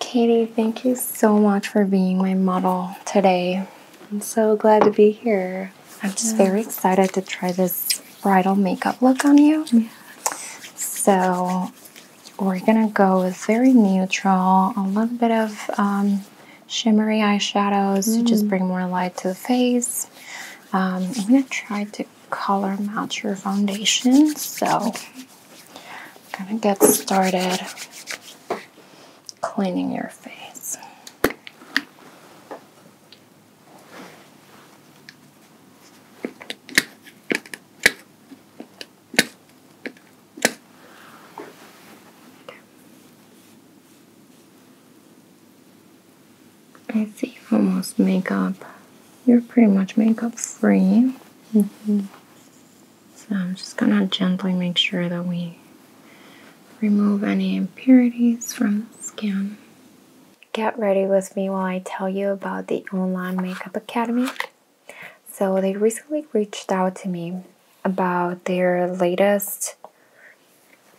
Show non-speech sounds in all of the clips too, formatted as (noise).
Katie, thank you so much for being my model today. I'm so glad to be here. I'm just very excited to try this bridal makeup look on you. So, we're gonna go with very neutral, a little bit of um, shimmery eyeshadows to just mm. bring more light to the face. Um, I'm gonna try to color match your foundation. So, I'm gonna get started cleaning your face. I see almost makeup. You're pretty much makeup free. Mm -hmm. So I'm just going to gently make sure that we remove any impurities from the skin. Get ready with me while I tell you about the online makeup academy. So they recently reached out to me about their latest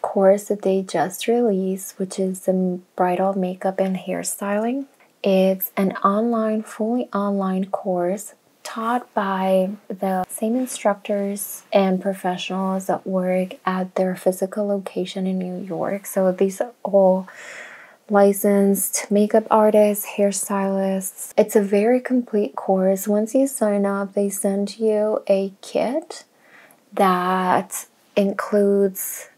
course that they just released, which is the bridal makeup and hairstyling. It's an online, fully online course taught by the same instructors and professionals that work at their physical location in New York. So these are all licensed makeup artists, hairstylists. It's a very complete course. Once you sign up, they send you a kit that includes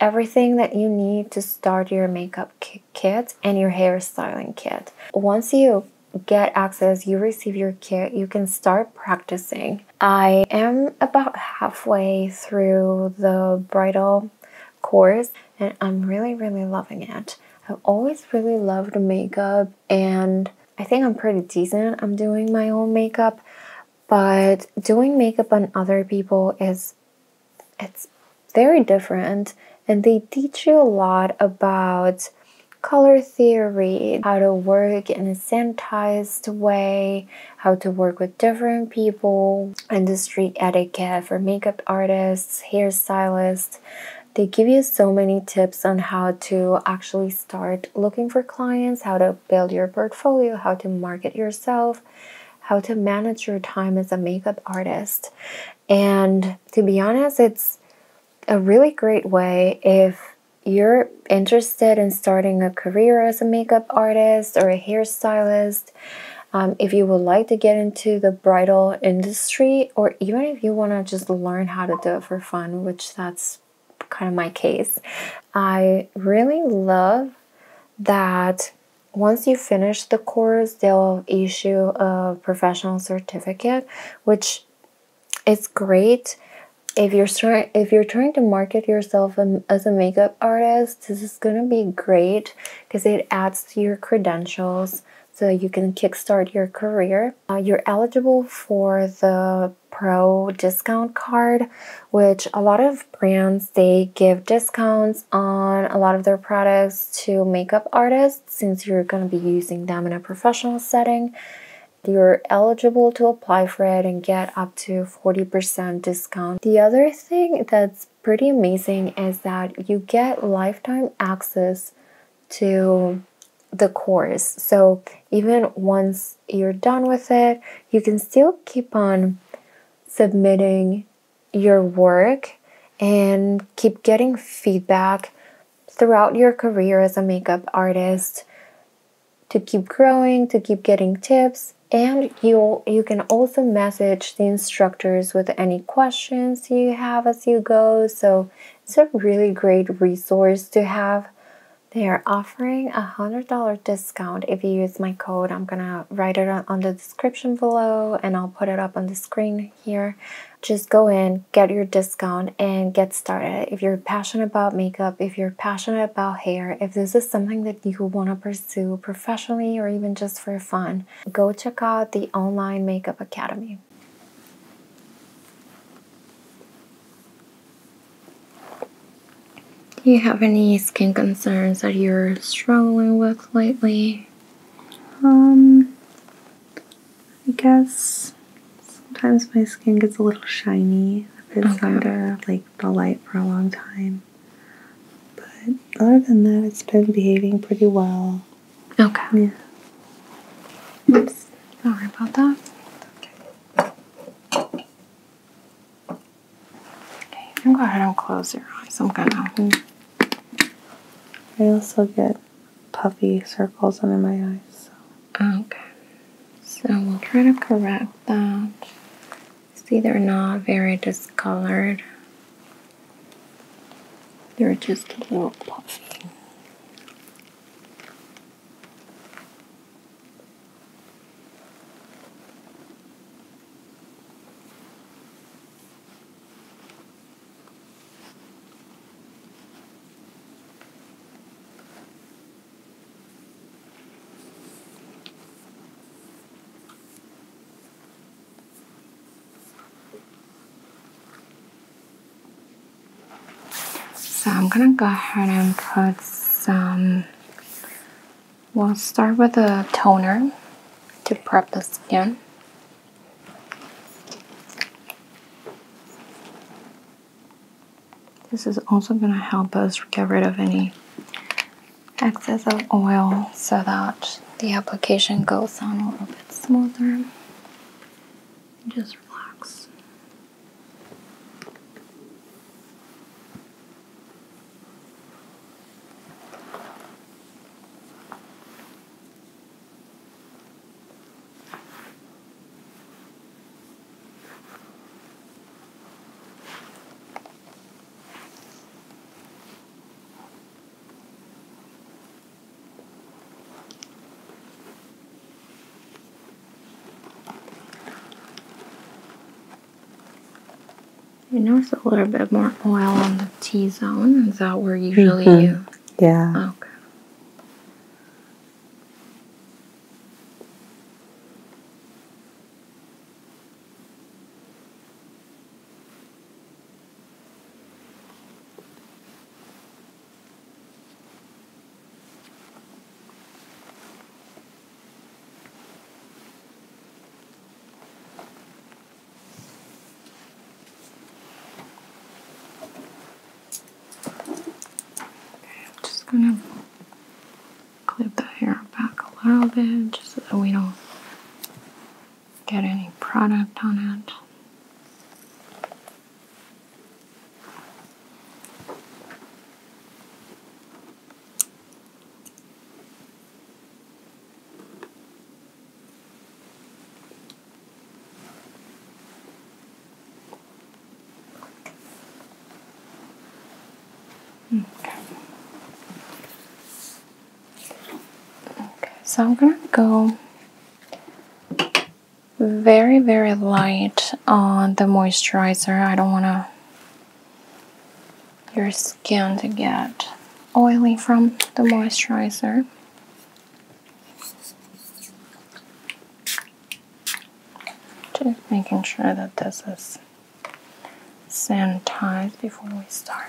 everything that you need to start your makeup kit and your hairstyling kit. Once you get access, you receive your kit, you can start practicing. I am about halfway through the bridal course and I'm really, really loving it. I've always really loved makeup and I think I'm pretty decent. I'm doing my own makeup, but doing makeup on other people is it's very different and they teach you a lot about color theory, how to work in a sanitized way, how to work with different people, industry etiquette for makeup artists, hairstylists. They give you so many tips on how to actually start looking for clients, how to build your portfolio, how to market yourself, how to manage your time as a makeup artist. And to be honest, it's a really great way if you're interested in starting a career as a makeup artist or a hairstylist, um, if you would like to get into the bridal industry, or even if you want to just learn how to do it for fun, which that's kind of my case, I really love that once you finish the course, they'll issue a professional certificate, which is great. If you're trying, if you're trying to market yourself um, as a makeup artist, this is gonna be great because it adds to your credentials, so you can kickstart your career. Uh, you're eligible for the pro discount card, which a lot of brands they give discounts on a lot of their products to makeup artists since you're going to be using them in a professional setting. You're eligible to apply for it and get up to 40% discount. The other thing that's pretty amazing is that you get lifetime access to the course. So even once you're done with it, you can still keep on submitting your work and keep getting feedback throughout your career as a makeup artist to keep growing, to keep getting tips, and you you can also message the instructors with any questions you have as you go. So it's a really great resource to have. They are offering a $100 discount if you use my code. I'm going to write it on the description below and I'll put it up on the screen here. Just go in, get your discount, and get started. If you're passionate about makeup, if you're passionate about hair, if this is something that you want to pursue professionally or even just for fun, go check out the Online Makeup Academy. Do you have any skin concerns that you're struggling with lately? Um, I guess sometimes my skin gets a little shiny if it's under like the light for a long time. But other than that, it's been behaving pretty well. Okay. Yeah. Oops. Don't worry about that. Okay. I'm gonna go ahead and close your eyes. I'm gonna. Mm-hmm. I also get puffy circles under my eyes. So. Oh, okay. So we'll try to correct that. See, they're not very discolored. They're just a little puffy. So I'm gonna go ahead and put some. We'll start with a toner to prep the skin. This is also going to help us get rid of any excess of oil so that the application goes on a little bit smoother. Just relax. You notice a little bit more oil on T zone? Is that where usually mm-hmm. you? Yeah. Okay. I'm just gonna clip the hair back a little bit just so that we don't get any product on it. Okay. okay, so I'm gonna go very, very light on the moisturizer. I don't want your skin to get oily from the moisturizer. Just making sure that this is sanitized before we start.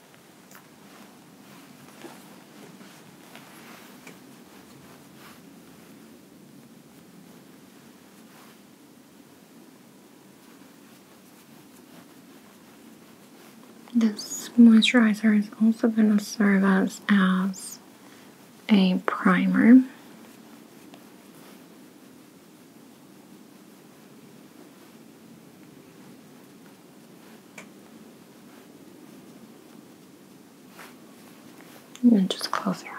This moisturizer is also going to serve us as a primer. And just close your eyes.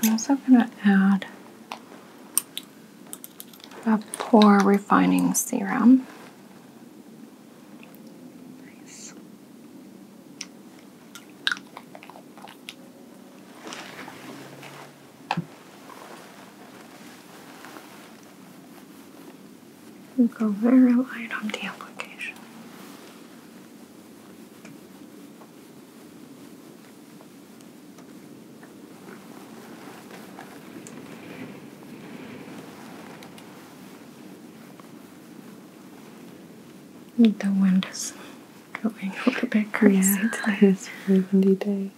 I'm also going to add a pore refining serum. You go very light on the application. The wind is going a the bit crazy (laughs) It's a windy day.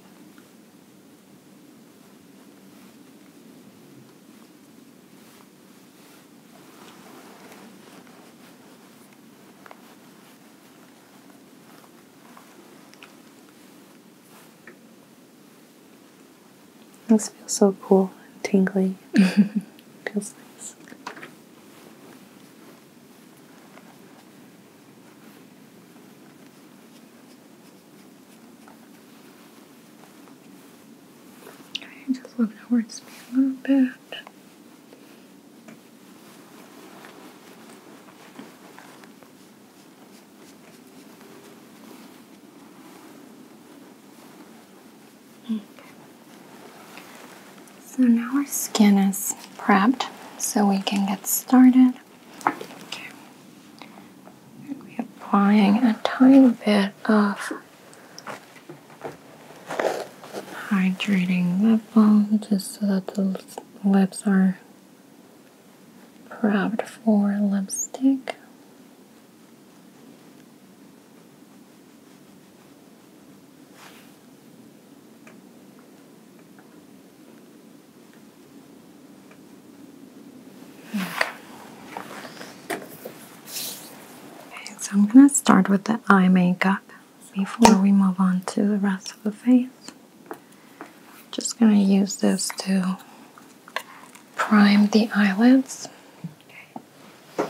This feels so cool and tingly. (laughs) feels nice. Okay, just look towards me a little bit. So now our skin is prepped so we can get started. we're applying a tiny bit of hydrating lip balm just so that the lips are Grabbed for lipstick. okay, so I'm gonna start with the eye makeup before we move on to the rest of the face. Just going to use this to prime the eyelids. Okay.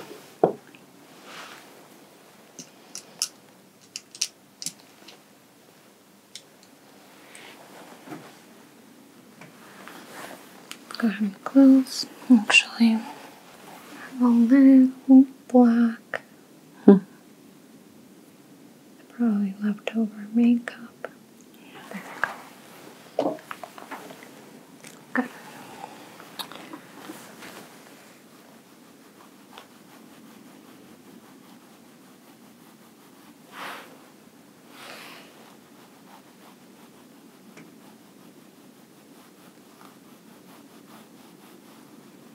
Go ahead and close. Actually, have a little black. Hmm probably leftover makeup. There we go. Good.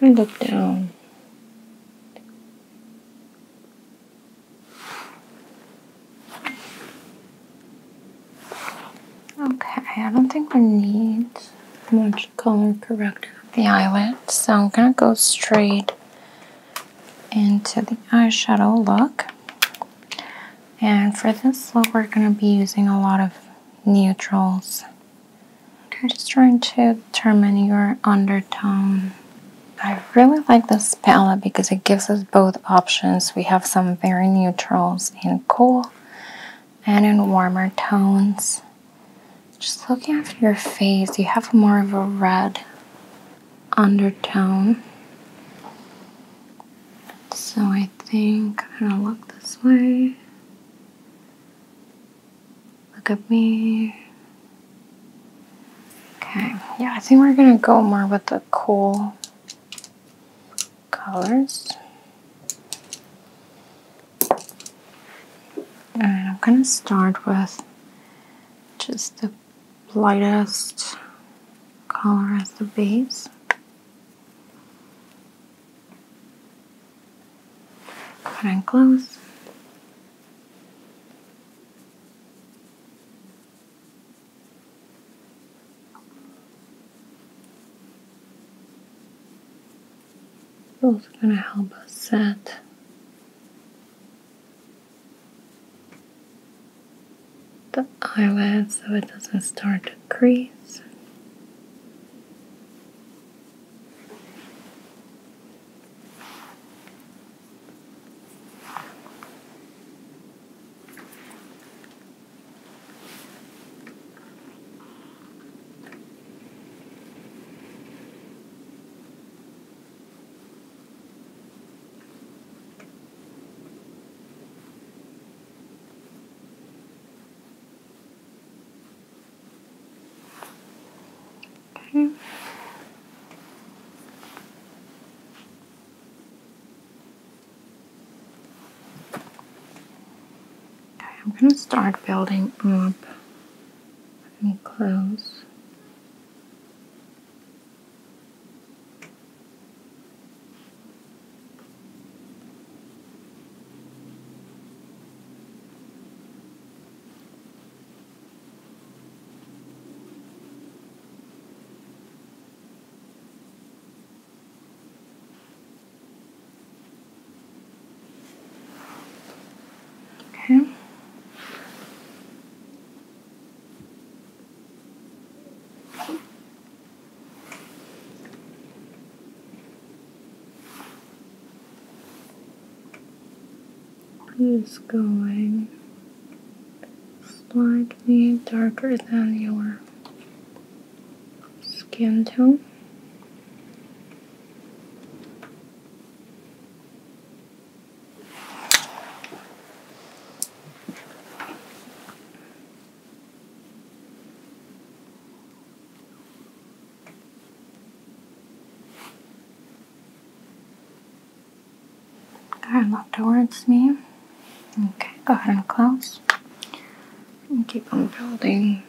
And look down. Okay, I don't think we need I'm to color correct the eyelid. So I'm gonna go straight into the eyeshadow look. And for this look, we're gonna be using a lot of neutrals. I'm just trying to determine your undertone. I really like this palette because it gives us both options. We have some very neutrals in cool and in warmer tones. Just looking at your face, you have more of a red undertone. So I think I'm gonna look this way. Look at me. Okay, yeah, I think we're gonna go more with the cool colors. And I'm gonna start with just the lightest color as the base. Cut and close both are going to help us set the eyelid so it doesn't start to crease. Okay. Okay, I'm going to start building up let me close. Okay. Just going slightly darker than your skin tone. Are not towards me. Okay, go ahead and close. And keep on building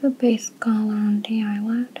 the base color on the eyelid.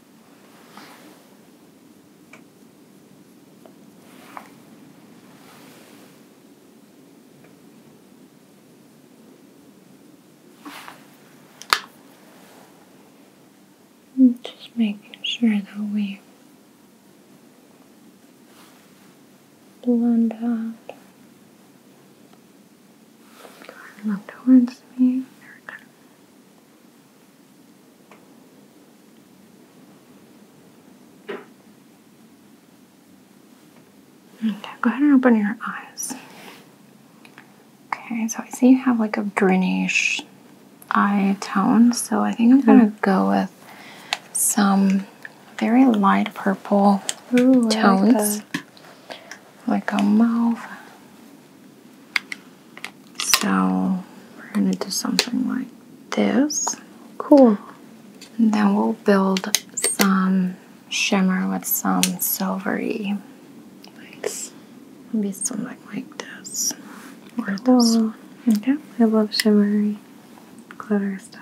just making sure that we blend out. Look towards me. Okay, go ahead and open your eyes. Okay, so I see you have like a greenish eye tone, so I think I'm gonna mm-hmm. go with some very light purple tones, like, a mauve. So we're gonna do something like this. Cool. And then we'll build some shimmer with some silvery. Nice. Maybe something like this. Or cool. this. I love shimmery glitter stuff.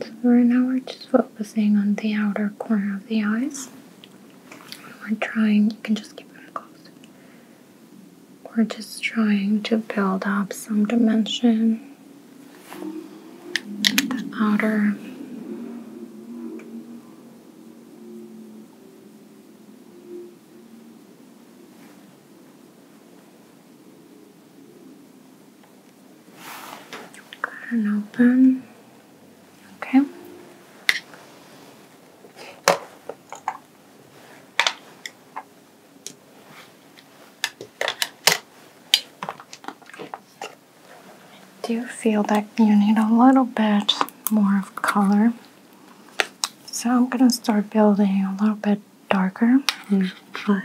So right now we're just focusing on the outer corner of the eyes. We're trying, you can just keep them closed. We're just trying to build up some dimension. The outer and open. Okay. I do feel that you need a little bit more of color. So I'm going to start building a little bit darker and mm, fun.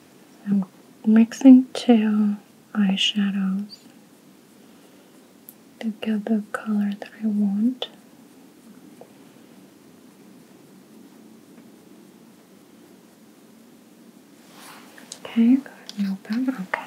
I'm mixing two eyeshadows to get the color that I want. Okay, go ahead and Okay.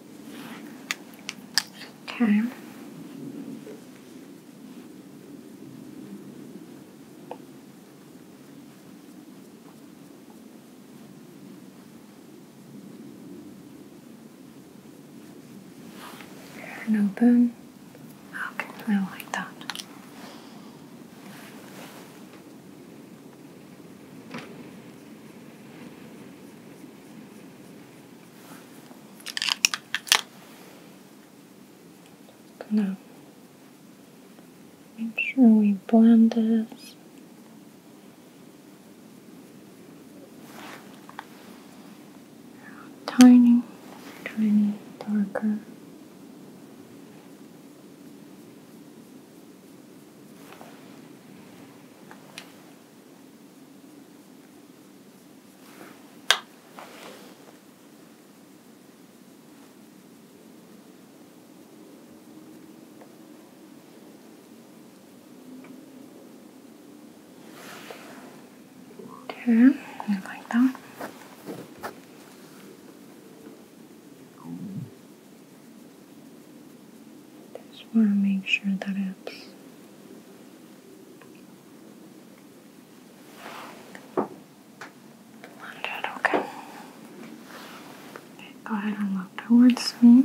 Okay. open. Okay, I like that. Now, make sure we blend this. Tiny, tiny darker. Okay, like that. Just want to make sure that it's Blended, okay. okay. Go ahead and look towards me.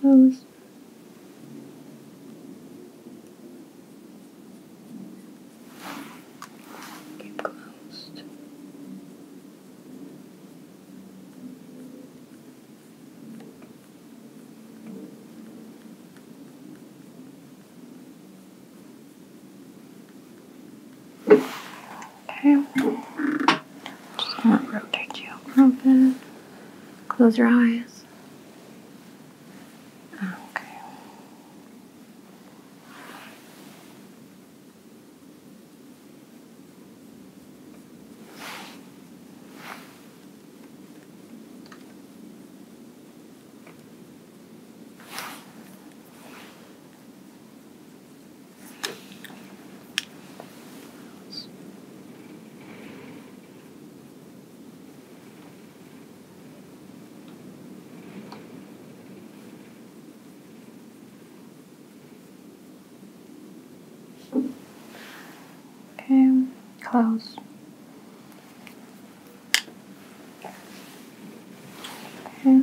close. Keep closed. Okay. Just want to rotate you a little bit. Close your eyes. Okay. Okay, close. Okay.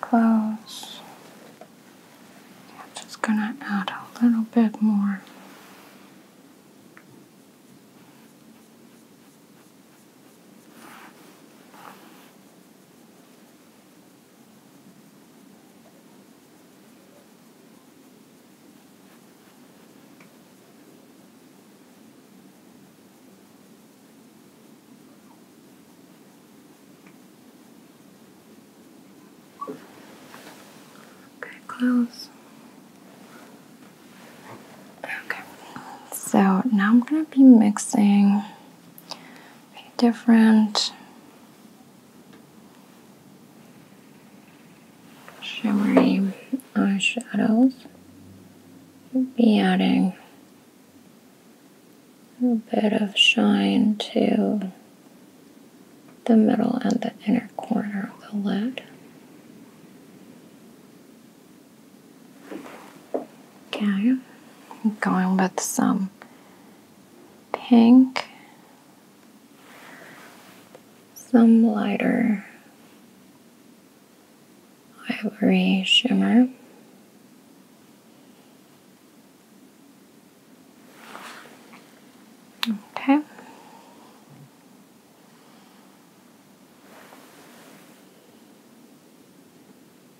Close. I'm just gonna add a little bit more. Okay, close. Okay, so now I'm going to be mixing different. Shimmery eyeshadows. Be adding a bit of shine to the middle and the inner corner of the lid. Okay, going with some pink, some lighter ivory shimmer. Okay.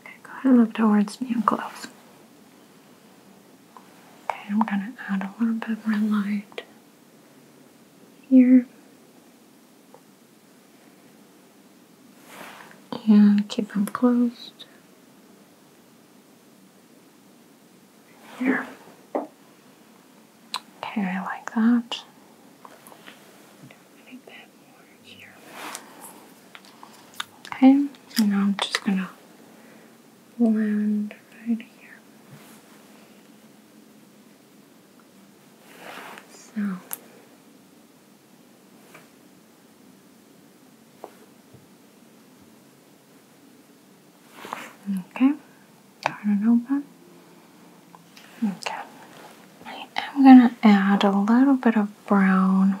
Okay, go ahead and look towards me and close. Okay, I'm going to add a little bit more light here. And keep them closed. Here. Okay, I like that. Okay, now I'm just gonna blend right here. So. Okay, cut it open. Okay, I am gonna add a little bit of brown.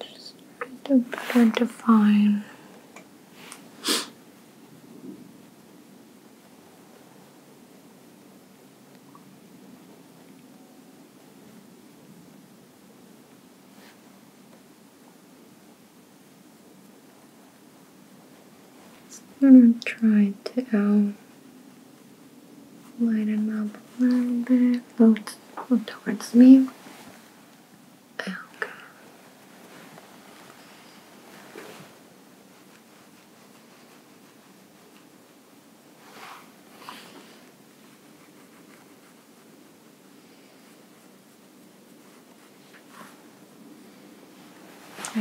Just trying to better define. I'm gonna try to um, lighten up a little bit, look towards me alga.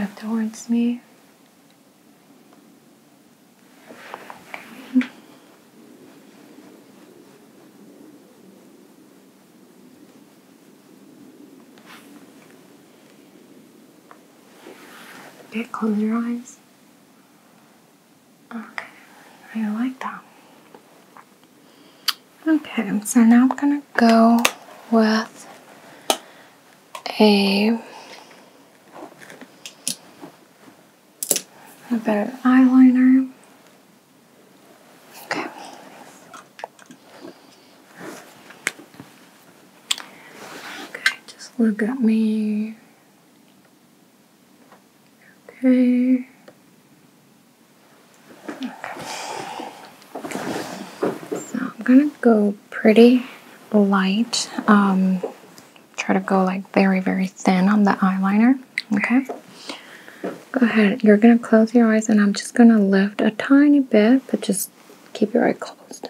Up towards me. Okay, close your eyes. Okay, I like that. Okay, so now I'm gonna go with a, a bit of eyeliner. Okay. Okay, just look at me. Okay. okay. So I'm gonna go pretty light. Um, try to go like very, very thin on the eyeliner. Okay. Go ahead. You're going to close your eyes, and I'm just going to lift a tiny bit, but just keep your eye closed.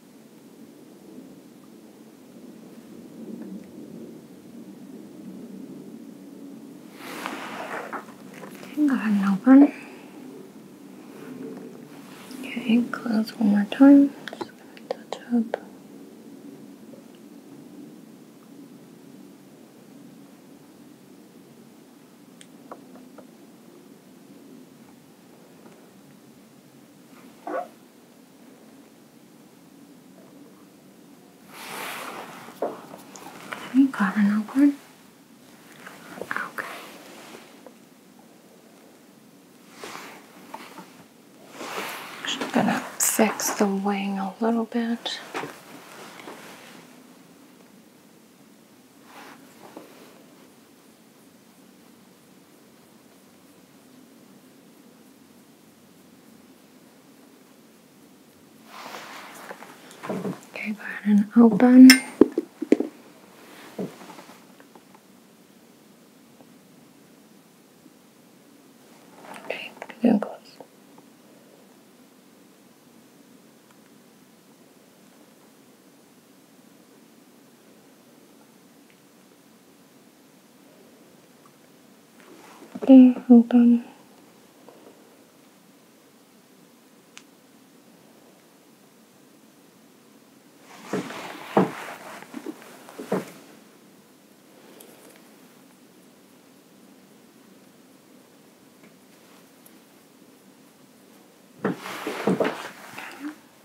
Go ahead and open. Okay, close one more time. Just gonna touch up. Have you got an award? Okay. Just gonna fix the wing a little bit. Okay, go ahead and open. Okay, and close. Okay, hold on.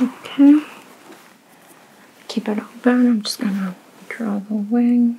Okay. Keep it open. I'm just gonna draw the wing.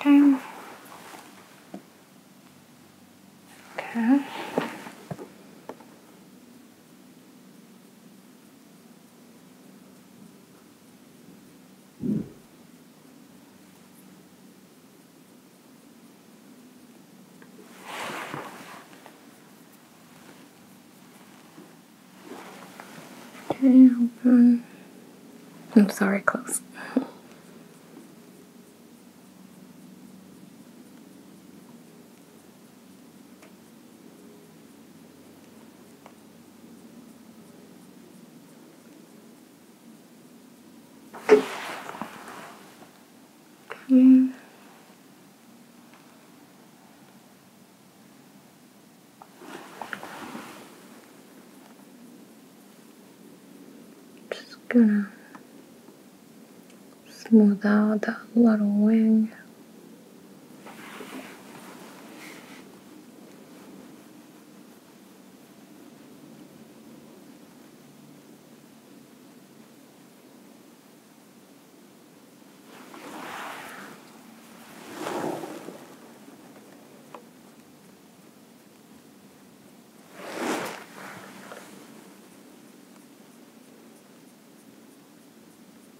Time. Okay. Okay, open. I'm sorry, close. Clear. Just gonna smooth out that little wing.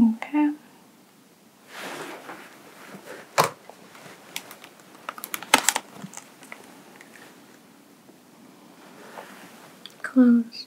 Okay. Close.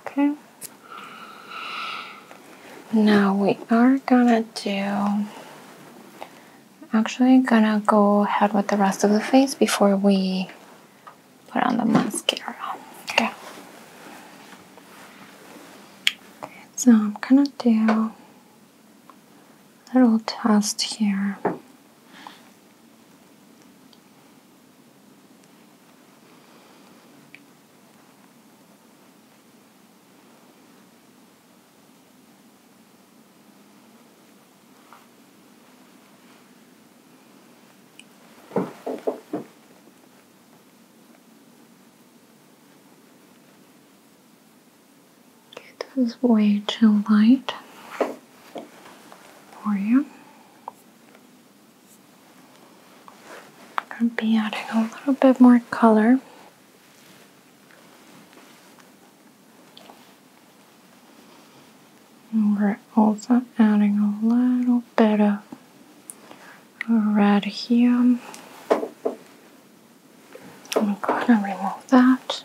Okay. Now we are gonna do actually gonna go ahead with the rest of the face before we put on the mascara. Okay. okay so I'm gonna do little test here. It was way too light for you. i to be adding a little bit more color. And we're also adding a little bit of red here. I'm gonna remove that.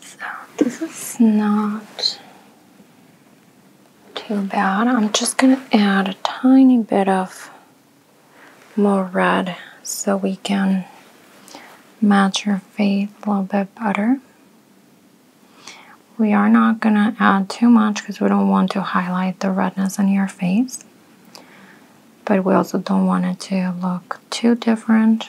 So this is not too bad. I'm just going to add a tiny bit of more red so we can match your face a little bit better. We are not going to add too much because we don't want to highlight the redness in your face. But we also don't want it to look too different.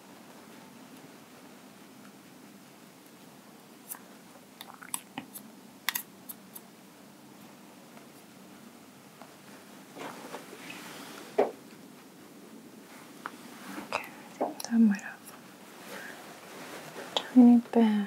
Okay, that might have a tiny bit.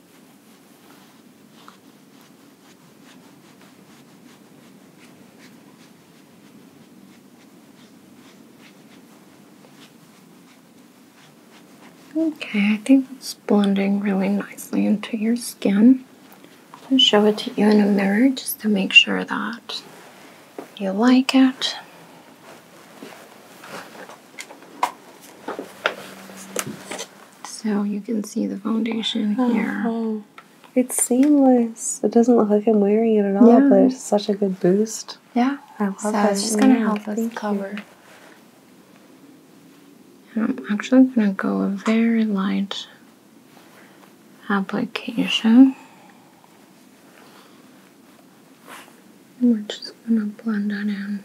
Okay, I think it's blending really nicely into your skin. I'll show it to you in a mirror just to make sure that you like it. So you can see the foundation uh-huh. here. it's seamless. It doesn't look like I'm wearing it at all, yeah. but it's such a good boost. Yeah. I love so that. It's just going to help us cover. I'm actually going to go a very light application. And we're just going to blend that in.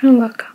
Go and look up.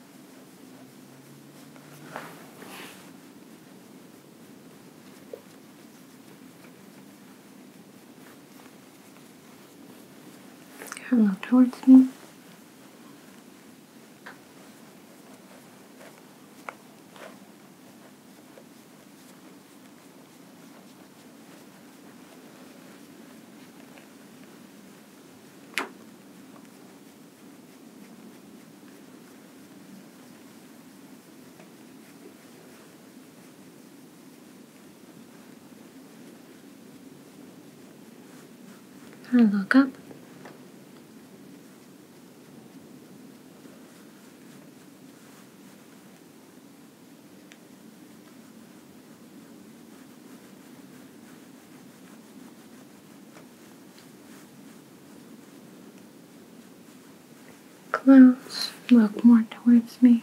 look towards me and look up. Close, look more towards me.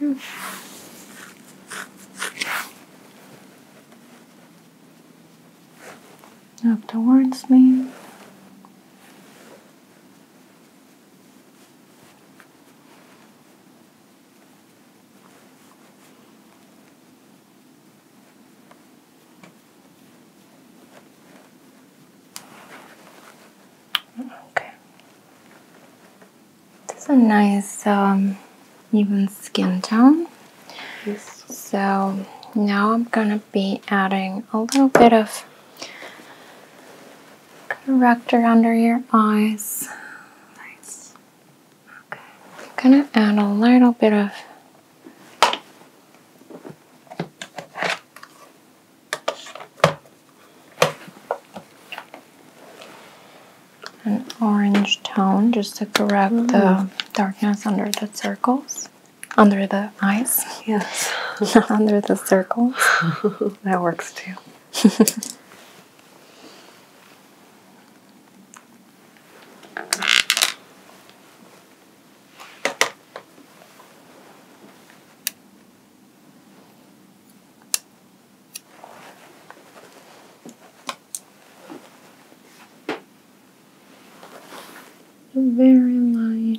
Mm. Afterwards, me. Okay. is a nice um, even skin tone. So now I'm gonna be adding a little bit of corrector under your eyes. Nice. Okay. I'm gonna add a little bit of an orange tone just to correct mm. the darkness under the circles, under the eyes. Yes. (laughs) under the circles. (laughs) that works too. (laughs) Very light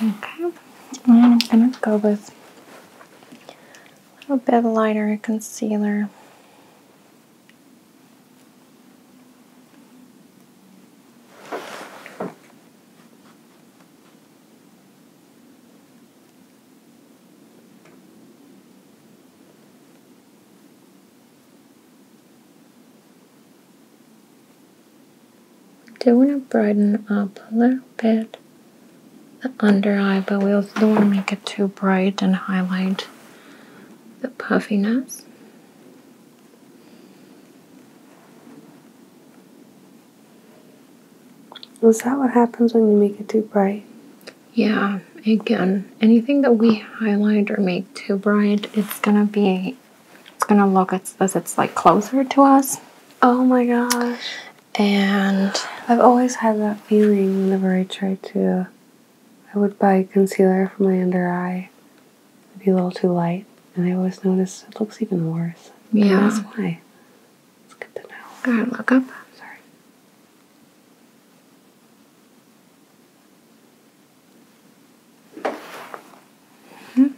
Okay, and I'm gonna go with a little bit lighter concealer do want to brighten up a little bit the under eye, but we also don't want to make it too bright and highlight the puffiness. Is that what happens when you make it too bright? Yeah, again, anything that we highlight or make too bright, it's gonna be, it's gonna look as, as it's like closer to us. Oh my gosh. And I've always had that feeling whenever I try to, I would buy concealer for my under eye It'd be a little too light. And I always notice it looks even worse. Yeah. That's why. It's good to know. Go ahead, look up. Sorry. Mm -hmm.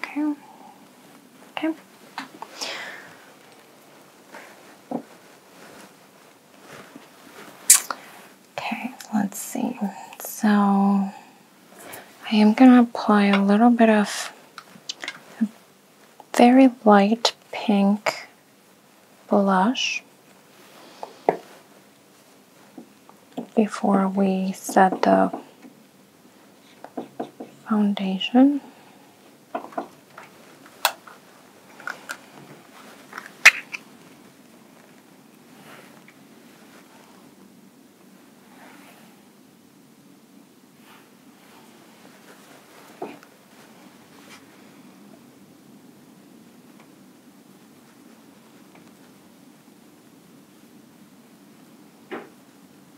Okay. Okay. Okay, let's see. So I am going to apply a little bit of very light pink blush before we set the foundation.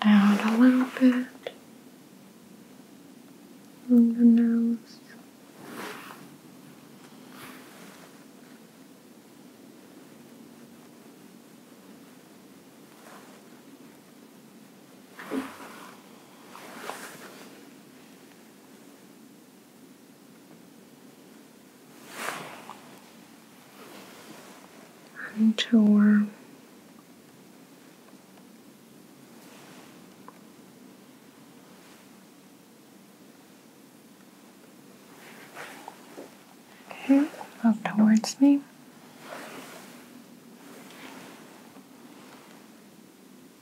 Add a little bit on the nose and okay up towards me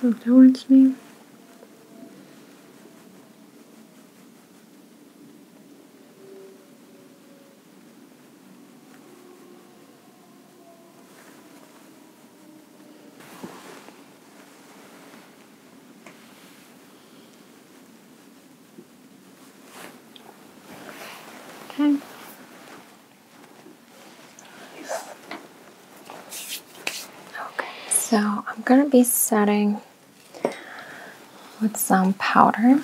Look towards me. Okay. so I'm going to be setting with some powder.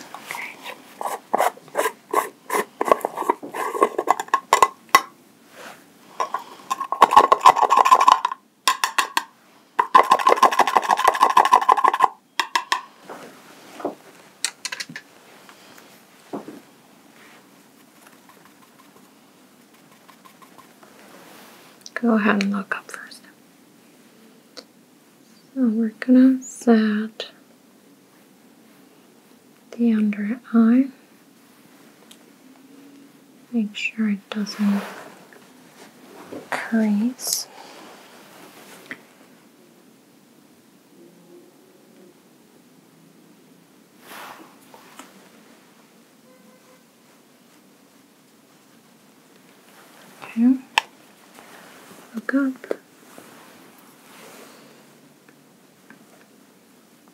Go ahead and look up first. So we're gonna set the under eye. Make sure it doesn't crease. Okay. Look up.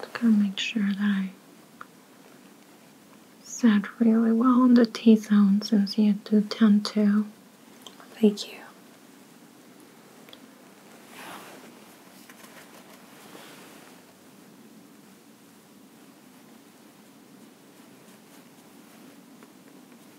Just gonna make sure that I set really well on the T zone since you do tend to. Thank you.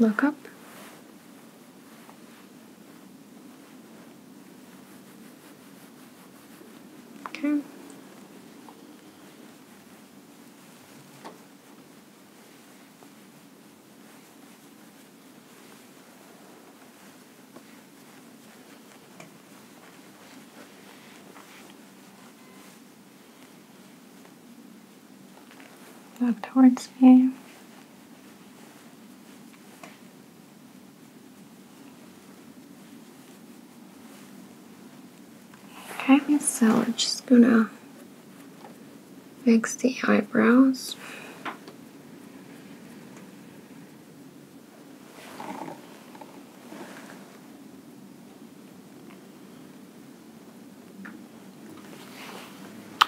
Look up. Okay. Look towards me. Okay, so we're just gonna fix the eyebrows.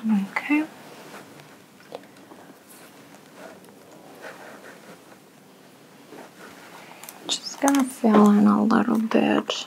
Okay. Just gonna fill in a little bit.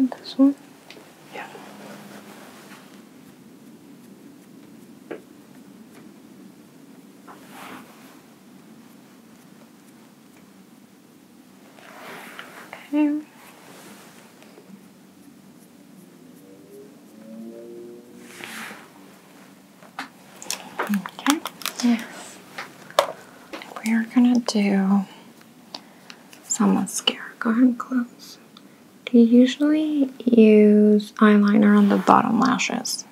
So this one? Yeah. Okay. Okay. Yes. We're gonna do some mascara. Go ahead and close. Do You usually use eyeliner on the bottom lashes.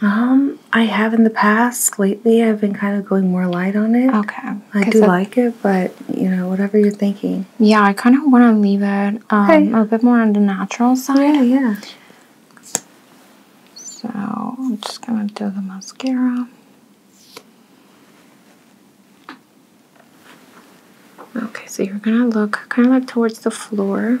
Um, I have in the past. Lately, I've been kind of going more light on it. Okay. I do like it, but you know, whatever you're thinking. Yeah, I kind of want to leave it um, a bit more on the natural side. Yeah, yeah. So I'm just going to do the mascara. Okay, so you're going to look kind of like towards the floor.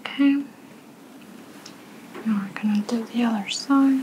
Okay. Now we're going to do the other side.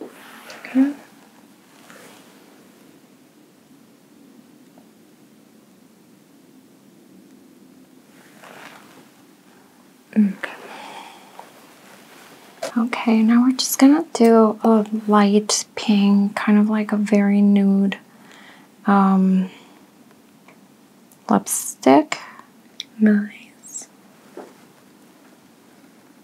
Okay. Okay. Okay, now we're just gonna do a light pink, kind of like a very nude um, lipstick. Nice.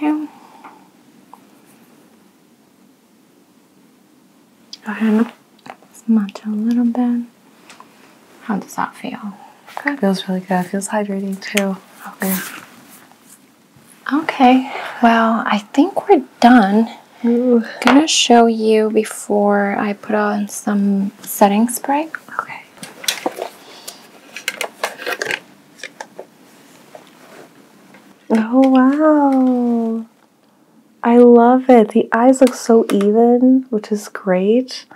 Down. Go ahead, smudge a little bit. How does that feel? Good. Feels really good. Feels hydrating too. Okay. Okay. Well, I think we're done. I'm gonna show you before I put on some setting spray. Okay. Oh wow. I love it. The eyes look so even, which is great.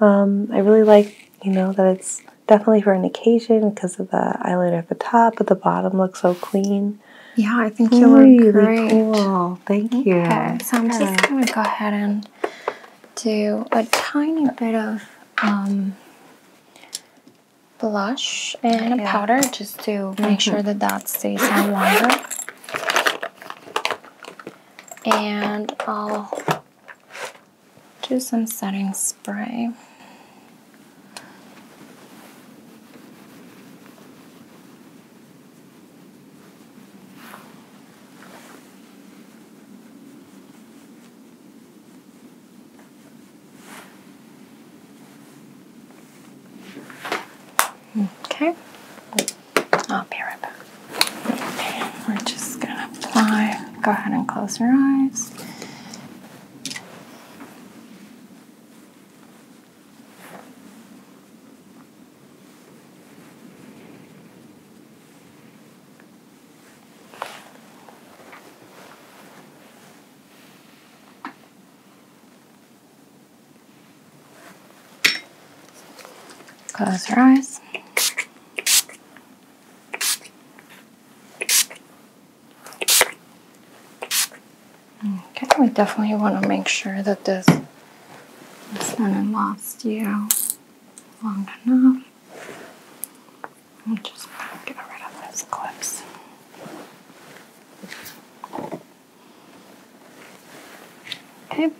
Um, I really like, you know, that it's definitely for an occasion because of the eyeliner at the top, but the bottom looks so clean. Yeah, I think you look great. Thank you. so I'm just gonna go ahead and do a tiny bit of um, blush and powder just to make mm-hmm. sure that that stays on longer. And I'll do some setting spray. Okay, I'll be right back. We're just going to apply. Go ahead and close your eyes. Close your eyes. Okay, we definitely want to make sure that this hasn't lost you long enough. i am just get rid of this clips. Okay.